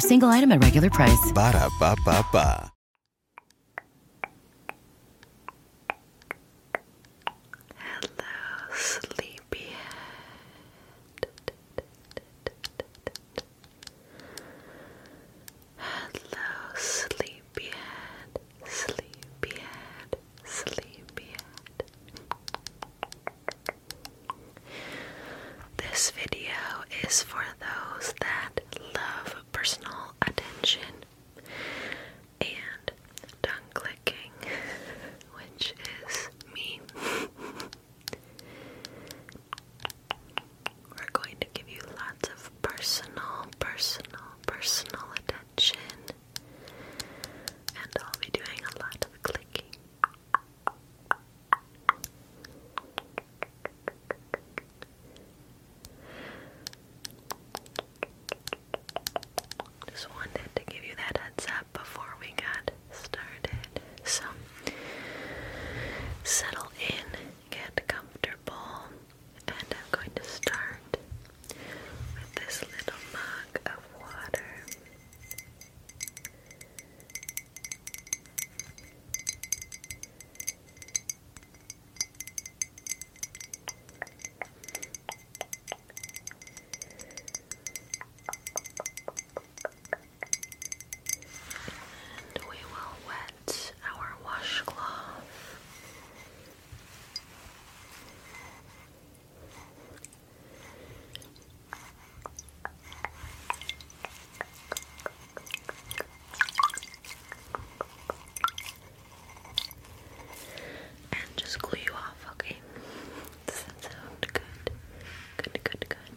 single item at regular price. Ba da ba ba Hello, sleepyhead. Hello, sleepyhead, sleepyhead, sleepyhead. This video is for those that love personal attention and tongue clicking, which is me. We're going to give you lots of personal, personal, personal attention. And I'll be doing a lot of clicking. Just wanted to give you that heads up before we got started. So, settle in, get comfortable, and I'm going to start with this little mug of water. And we will wet our washcloth. And just glue you off, okay? Does Good, good, good. Good. Relax.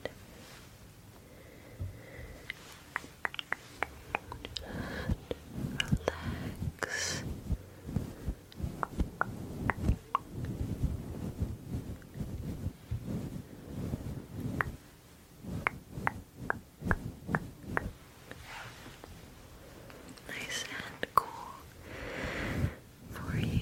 Nice and cool for you.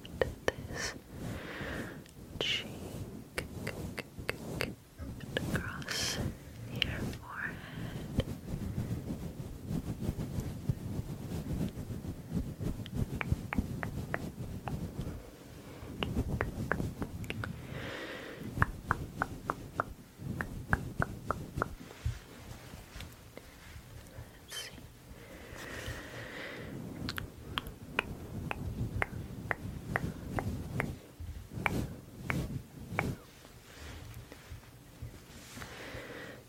this cheek across your forehead. Let's see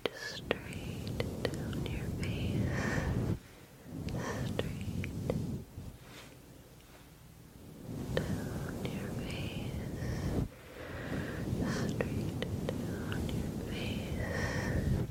just straight down your face, straight down your face, straight down your face.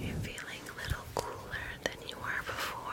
You're feeling a little cooler than you were before.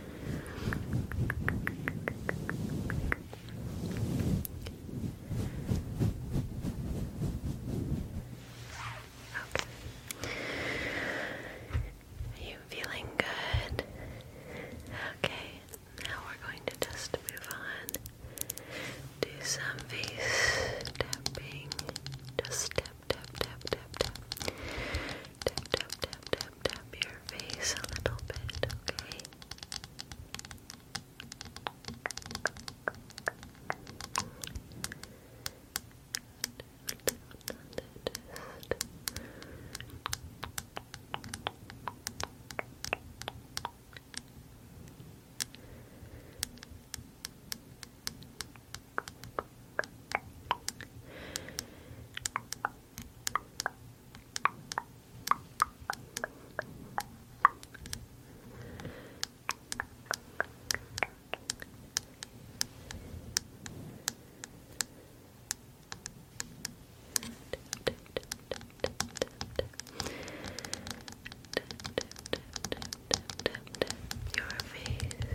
Are you feeling good? Okay, now we're going to just move on. Do some face tapping. Just tap, tap, tap, tap, Tap, tap, tap, tap, tap your face a little bit, okay? Your face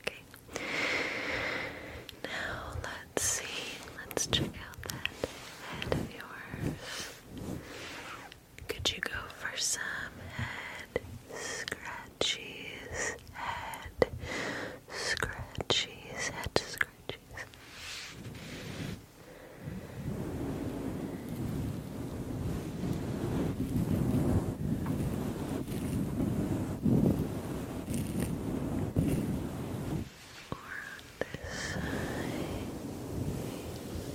Okay. Now let's see. Let's check out that head of yours. Could you go for some head scratchies? Head scratchies, head scratchies. Or this side.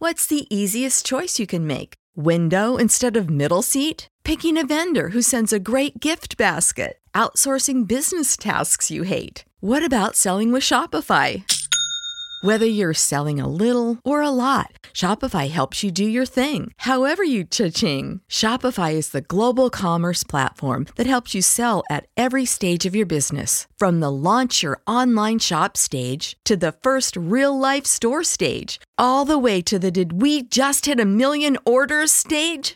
What's the easiest choice you can make? Window instead of middle seat? picking a vendor who sends a great gift basket, outsourcing business tasks you hate. What about selling with Shopify? Whether you're selling a little or a lot, Shopify helps you do your thing, however you cha-ching. Shopify is the global commerce platform that helps you sell at every stage of your business. From the launch your online shop stage to the first real-life store stage, all the way to the did we just hit a million orders stage.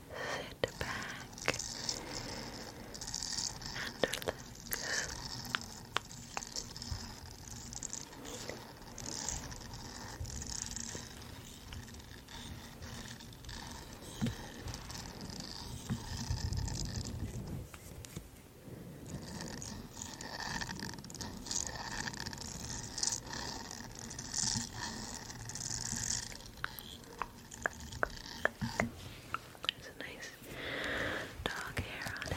sit back and relax. There's a nice dog hair on it.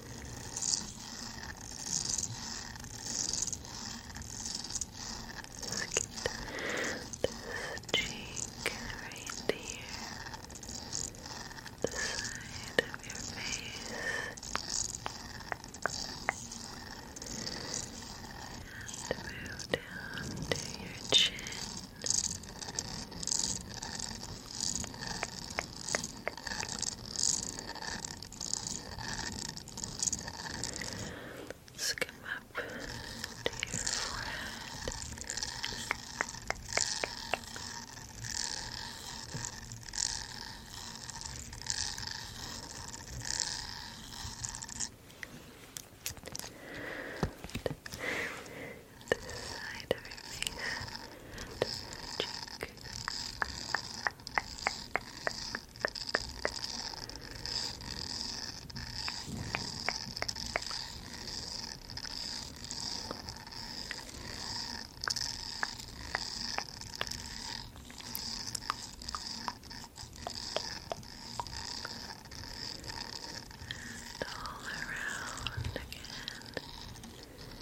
This cheek right here, the side of your face, and move down to your chin. Let's come up to your forehead. This side of your face and cheek. And all around again. All around, around.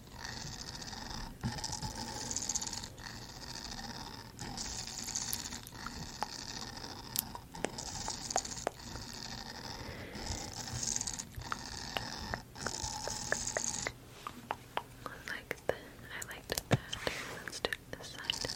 Like that. I liked that. Let's do it this side. Good.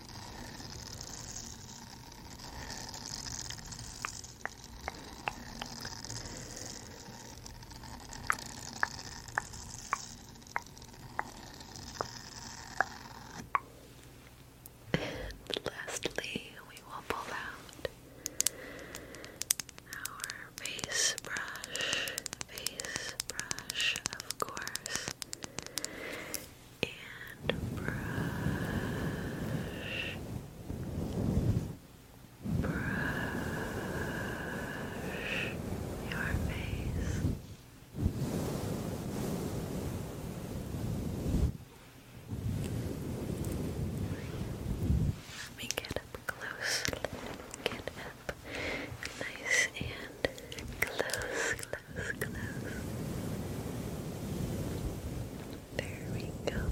And lastly, we will pull out our face brush. Face brush, of course and brush, brush your face. Let me get up close. Let me get up nice and Close, close, close. There we go.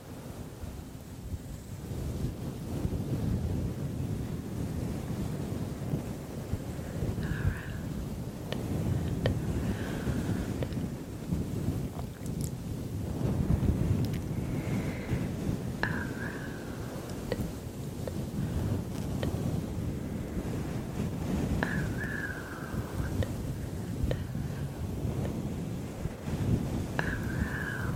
around around around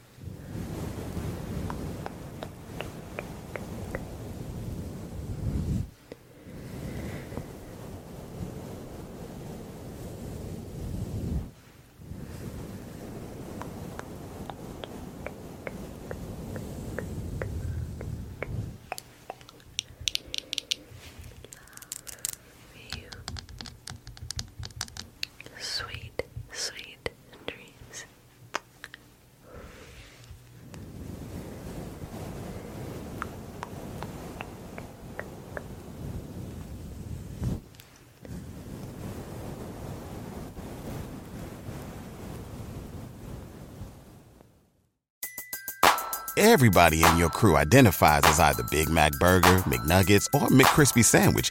Love you. Sweet, sweet dreams. Everybody in your crew identifies as either Big Mac Burger, McNuggets, or McCrispy Sandwich